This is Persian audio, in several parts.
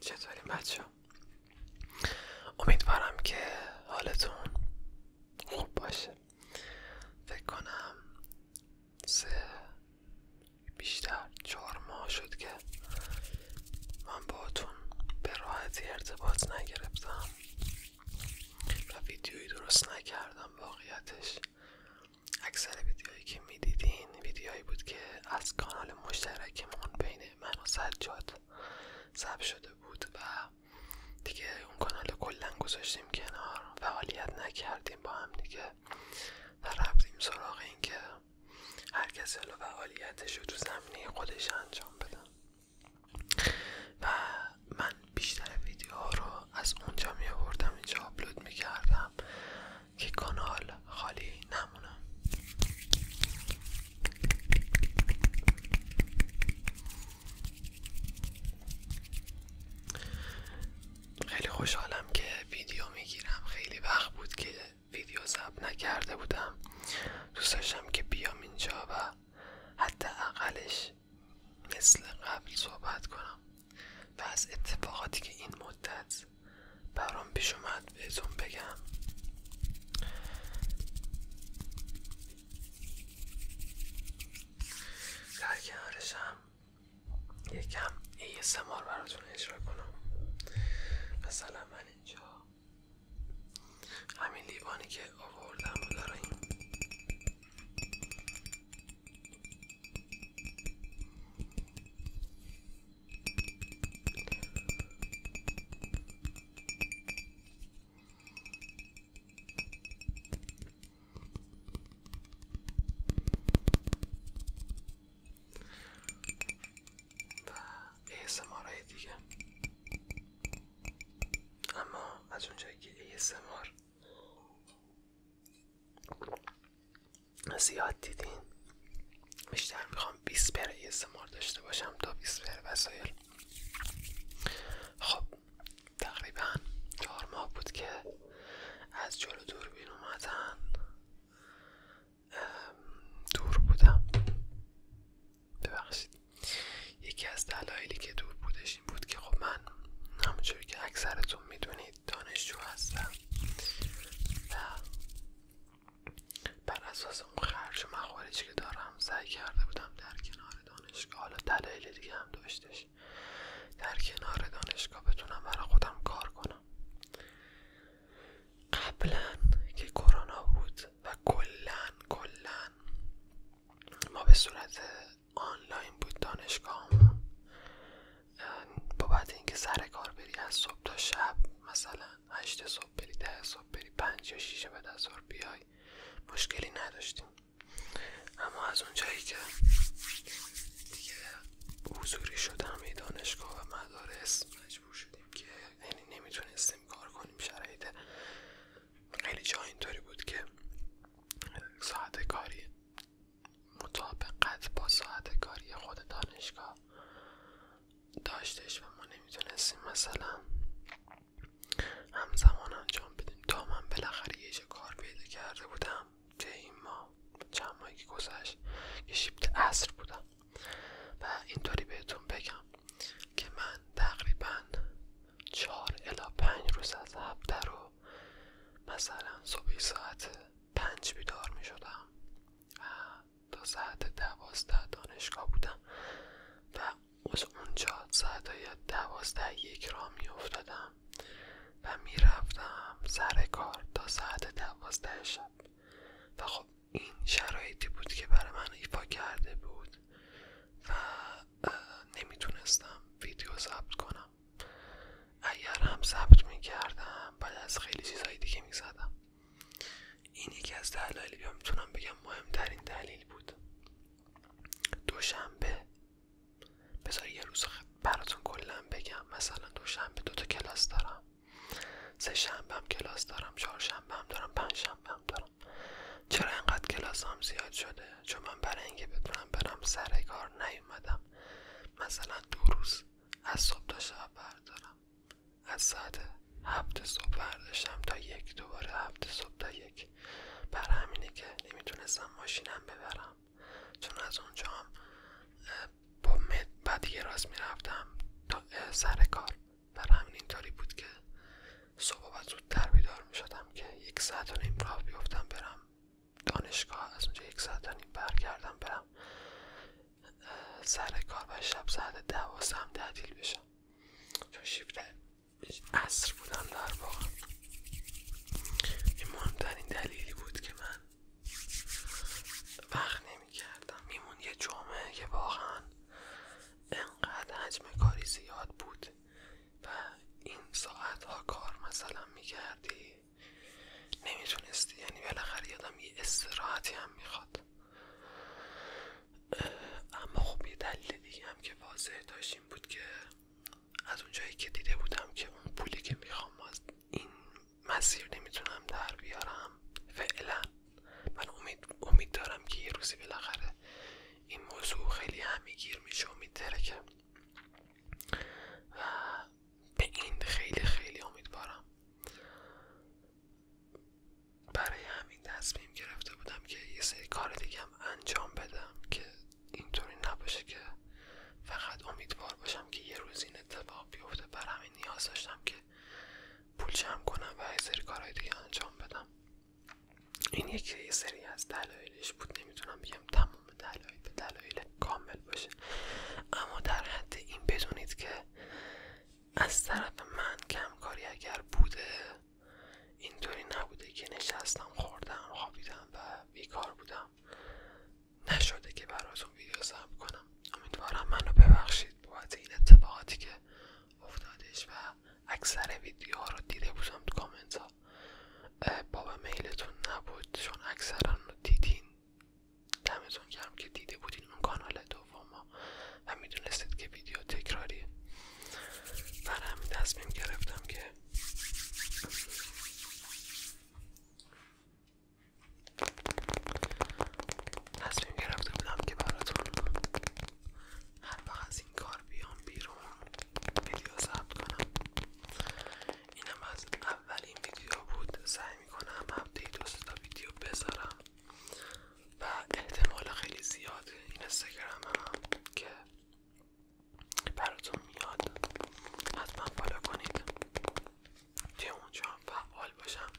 چطوری بچه امیدوارم که حالتون خوب باشه فکر کنم سه بیشتر چهار ماه شد که من باتون به راحتی ارتباط نگرفتم و ویدیویی درست نکردم واقعیتش اکثر ویدیوهایی که میدیدین ویدیوهایی بود که از کانال مشترکمون بین من و سجاد ضبط شده بود و دیگه اون کانال کلا گذاشتیم کنار فعالیت نکردیم با هم دیگه و رفتیم سراغ اینکه که هر کسی حالا فعالیتش رو تو زمینه خودش انجام بده و من بیشتر ویدیوها رو از اونجا می اینجا آپلود می که کانال خالی نمونه خیلی خوشحالم که ویدیو میگیرم خیلی وقت بود که ویدیو ضبط نکرده بودم دوست داشتم که بیام اینجا و حتی اقلش مثل قبل صحبت کنم و از اتفاقاتی که این مدت برام پیش اومد اون بگم در یکم یه سمار براتون اجرا کنم مثلا من اینجا همین لیوانی که آوردم رو و ASMR دیگه اما از اونجایی که ASMR زیاد دیدین بیشتر میخوام 20 پر ASMR داشته باشم تا 20 پر وسایل خب تقریبا چهار ماه بود که از جلو دوربین اومدن دور بودم ببخشید یکی از دلایلی که دور بودش این بود که خب من همونجوری که اکثرتون میدونید دانشجو هستم و بر اساس اون خرج و مخارجی که دارم سعی کرده بودم در کنار دانشگاه حالا دلایل دیگه هم داشتش در کنار دانشگاه بتونم برای خودم کار کنم قبلا که کرونا بود و کلن کلا ما به صورت آنلاین بود دانشگاهمون بابت اینکه سر کار بری از صبح تا شب مثلا هشت صبح بری ده صبح بری پنج یا شیشه بعد از ظهر بیای مشکلی نداشتیم اما از اونجایی که دیگه حضوری شدم همه دانشگاه و مدارس مجبور شدیم که یعنی نمیتونستیم کار کنیم شرایط خیلی جا اینطوری بود که ساعت کاری مطابقت با ساعت کاری خود دانشگاه داشتش و ما نمیتونستیم مثلا همزمان انجام بدیم تا من بالاخره یه کار پیدا کرده بودم که این ما چند ماهی که گذشت که شیبت عصر بودم و اینطوری بهتون بگم که من تقریبا چهار الا 5 روز از هفته رو مثلا صبحی ساعت 5 بیدار می شدم و تا ساعت دوازده دانشگاه بودم و از اونجا ساعتای دوازده یک را میافتادم و میرفتم سر کار تا ساعت دوازده شب و خب این شرایطی بود که برای من ایفا کرده بود و نمیتونستم ویدیو ثبت کنم اگر هم ضبط میکردم بعد از خیلی چیزهای دیگه میزدم این یکی از دلایلی میتونم بگم مهمترین دلیل بود دوشنبه بذار یه روز براتون کلا بگم مثلا دوشنبه دوتا کلاس دارم سه شنبه هم کلاس دارم چهار هم دارم پنجشنبه هم دارم چرا انقدر کلاس زیاد شده چون من برای اینکه بتونم برم سر کار نیومدم مثلا دو روز از صبح تا شب بردارم از ساعت هفت صبح برداشتم تا یک دوباره هفت صبح تا یک بر همینه که نمیتونستم ماشینم ببرم چون از اونجا هم با بعد راست میرفتم تا سر کار بر همین اینطوری بود که صبح زود زودتر بیدار میشدم که یک ساعت و نیم راه بیفتم برم دانشگاه از اونجا یک ساعت و نیم برگردم برم سر کار و شب ساعت و هم تعطیل بشم چون شیفت عصر بودم در واقع این مهمترین دلیلی بود که من وقت نمیکردم میمون یه جمعه که واقعا انقدر حجم کاری زیاد بود و این ساعت ها کار مثلا میکردی نمیتونستی یعنی بالاخره یادم یه استراحتی هم میخواد اما خب یه دلیل دیگه هم که واضح داشت این بود که از اونجایی که دیده بودم که اون پولی که میخوام از این مسیر نمیتونم در بیارم فعلا من امید, دارم که یه روزی بالاخره این موضوع خیلی گیر میشه امید داره و به این خیلی خیلی امیدوارم برای همین تصمیم گرفته بودم که یه سری کار هم انجام بدم که اینطوری نباشه که فقط امیدوار باشم که یه روز این اتفاق بیفته بر همین نیاز داشتم که پول جمع کنم و یه سری کارهای دیگه انجام بدم این یکی یه سری از دلایلش بود نمیتونم بگم تمام دلایل دلایل کامل باشه اما در حد این بدونید که از طرف من کمکاری اگر بوده اینطوری نبوده که نشستم خوردم خوابیدم و بیکار بودم نشده که براتون ویدیو ضبط کنم امیدوارم منو ببخشید بابت این اتفاقاتی که افتادش و اکثر ویدیوها رو دیده بودم تو کامنت ها باب میلتون نبود چون اکثرا رو دیدین دمتون کردم که دیده بودین اون کانال دو دوم ما میدونستید که ویدیو تکراریه برای همین تصمیم گرفتم که تصمیم گرفتم بودم که براتون هر وقت از این کار بیام بیرون ویدیو ضبط کنم اینم از اولین ویدیو بود سعی میکنم هفته دو تا ویدیو بذارم و احتمال خیلی زیاد این که براتون میاد حتما فالو کنید که اونجا فعال باشم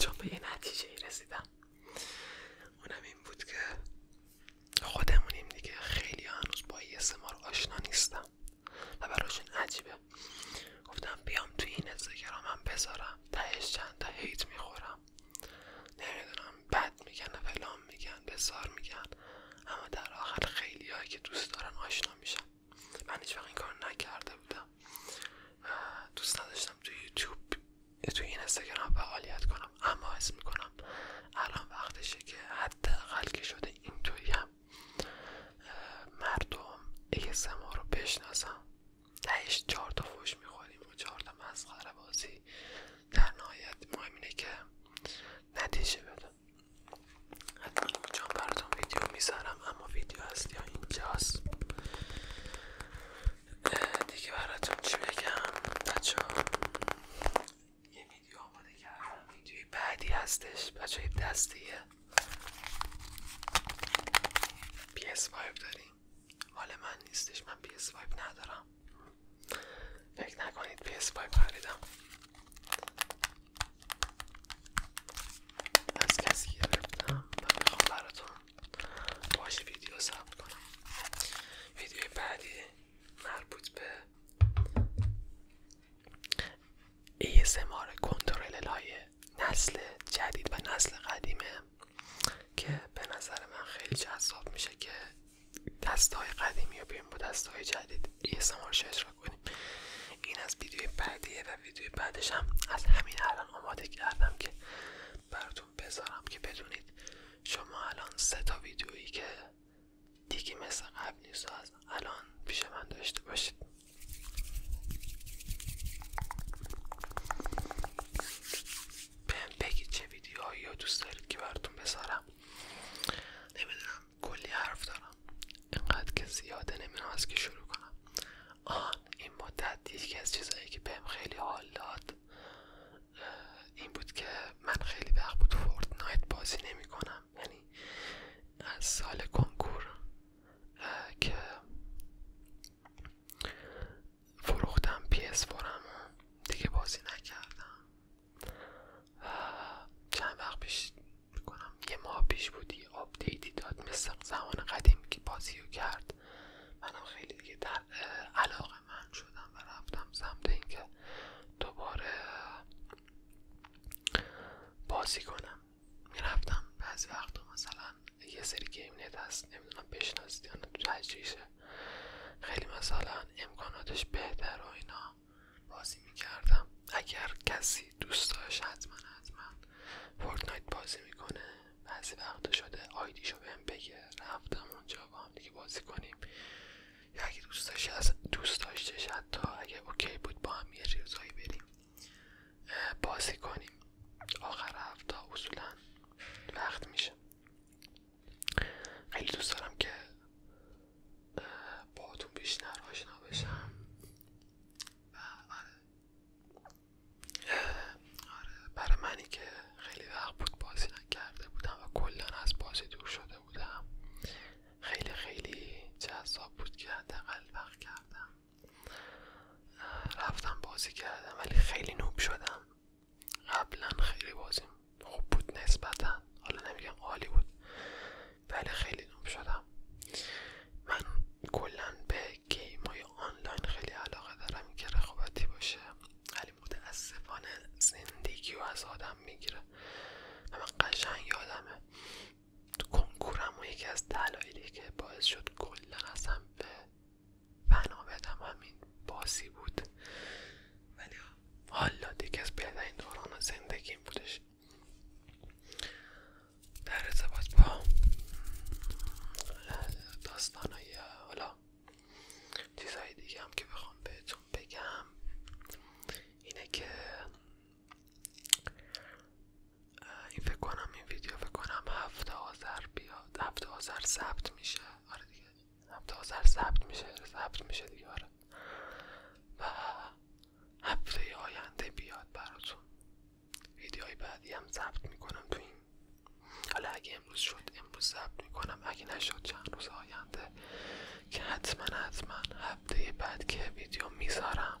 چون به یه نتیجه رسیدم اونم این بود که خودمونیم دیگه خیلی هنوز با یه ما آشنا نیستم و براشون عجیبه گفتم بیام تو این استگرام هم بذارم تهش چند تا هیت میخورم نمیدونم بد میگن و فلان میگن بسار میگن اما در آخر خیلی که دوست دارن آشنا میشن من هیچ این کار نکرده بودم دوست نداشتم تو یوتیوب تو این استگرام فعالیت کنم اما حس میکنم الان وقتشه که حداقل که شده توی هم مردم ASMR رو بشناسم تهش چهار تا فوش میخوریم و چهار تا مسخره بازی در نهایت مهم که نتیجه بده حتما اونجا براتون ویدیو میذارم اما ویدیو هست یا اینجاست دیگه براتون چی بگم بچه یه ویدیو آماده کردم ویدیوی بعدی هستش بچه دستیه ps وایب داریم حالا من نیستش من ps وایب ندارم فکر نکنید ps وایب خریدم از کسی گرفتم و میخوام براتون باش ویدیو ثبت کنم ویدیو بعدی مربوط به ASMR کنترل های نسل جدید و نسل قدیمه که به نظر من خیلی جذاب میشه که دستهای قدیمی رو بیاریم با های جدید یه شش رو کنیم این از ویدیوی بعدیه و ویدیو بعدش هم از همین الان آماده کردم که براتون بذارم که بدونید شما الان سه تا ویدیویی که دیگه مثل قبل نیست از الان پیش من داشته باشید بهم بگید چه ویدیوهایی رو دوست دارید که براتون بذارم نمیدونم کلی حرف دارم اینقدر که زیاده نمیدونم از که شروع کنم آن این مدت یکی از چیزهایی که بهم خیلی حال داد این بود که من خیلی وقت بود فورتنایت بازی نمی کنم یعنی از سال کنکور که فروختم پیس فورم دیگه بازی نکردم چند وقت پیش کنم یه ماه پیش بودی آپدیتی داد مثل زمان قدیم که بازی رو کرد منم خیلی دیگه در علاقه من شدم و رفتم سمت اینکه دوباره بازی کنم میرفتم بعضی وقتا مثلا یه سری گیم نت هست نمیدونم بشناسید یا نه خیلی مثلا امکاناتش بهتر و اینا بازی میکردم اگر کسی دوست داشت حتما حتما فورتنایت بازی میکنه بعضی وقته شده آیدیشو بهم بگه رفتم اونجا با هم دیگه بازی کنیم یا اگه دوست از دوست داشتش حتی اگه اوکی بود با هم یه هایی بریم بازی کنیم آخر هفته اصولا وقت میشه خیلی دوست دارم که باهاتون بیشتر آشنا بشم و آره. آره برای منی که خیلی وقت بود بازی نکرده بودم و کلا از بازی دور شده بودم خیلی خیلی جذاب بود که حداقل وقت کردم رفتم بازی کردم ولی خیلی نوب شدم قبلا خیلی بازیم خوب بود نسبتا حالا نمیگم عالی بود ولی خیلی نوب شدم من کلا به گیم های آنلاین خیلی علاقه دارم که رقابتی باشه ولی متاسفانه زندگی و از آدم میگیره من قشنگ یادمه کنکورم و یکی از دلایلی که باعث شد کلا اصلا به فنا همین باسی بود ولی حالا دیگه از این دوران زندگیم بودش در ارتباط با داستانهای حالا چیزهای دیگه هم که بخوام بهتون بگم اینه که این فکر کنم این ویدیو فکر کنم هفته آذر بیاد هفته آذر ثبت میشه آره دیگه هفته آذر ثبت میشه ثبت میشه دیگه آره. و هفته آینده بیاد براتون ویدیوهای بعدی هم ثبت میکنم تو این حالا اگه امروز شد امروز ثبت میکنم اگه نشد چند روز آینده که حتما حتما هفته بعد که ویدیو میذارم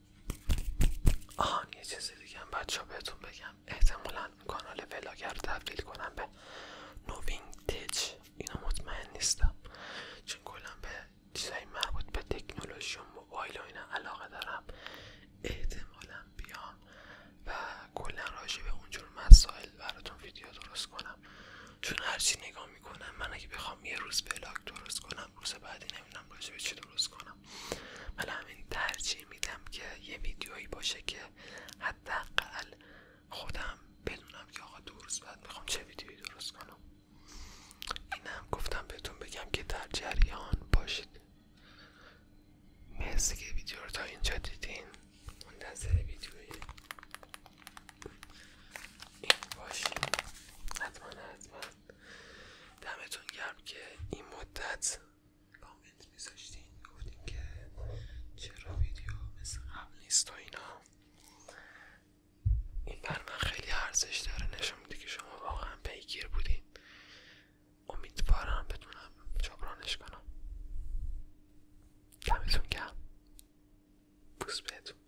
آهان یه چیزی دیگه بچه بهتون بگم احتمالا کانال ولاگر رو تبدیل کنم به نووینگ تج اینو مطمئن نیستم چون کلا به چیزایی مربوط به تکنولوژی و موبایل و اینا علاقه دارم احتمالا بیام و کلا راجع به اونجور مسائل براتون ویدیو درست کنم چون هرچی نگاه میکنم من اگه بخوام یه روز ولاگ درست کنم روز بعدی نمیدونم باید به چی درست کنم میکنم ولی همین ترجیح میدم که یه ویدیویی باشه که حداقل خودم بدونم که آقا درست بعد میخوام چه ویدیویی درست کنم اینم گفتم بهتون بگم که در جریان باشید مرسی که ویدیو رو تا اینجا دیدین منتظر ویدیوی این باشید حتما حتما دمتون گرم که این مدت کامنت میذاشتین گفتین که چرا ویدیو مثل قبل نیست و اینا این بر من خیلی ارزش داره نشون میده که شما واقعا پیگیر بودین امیدوارم بتونم جبرانش کنم دمتون گرم پوست بهتون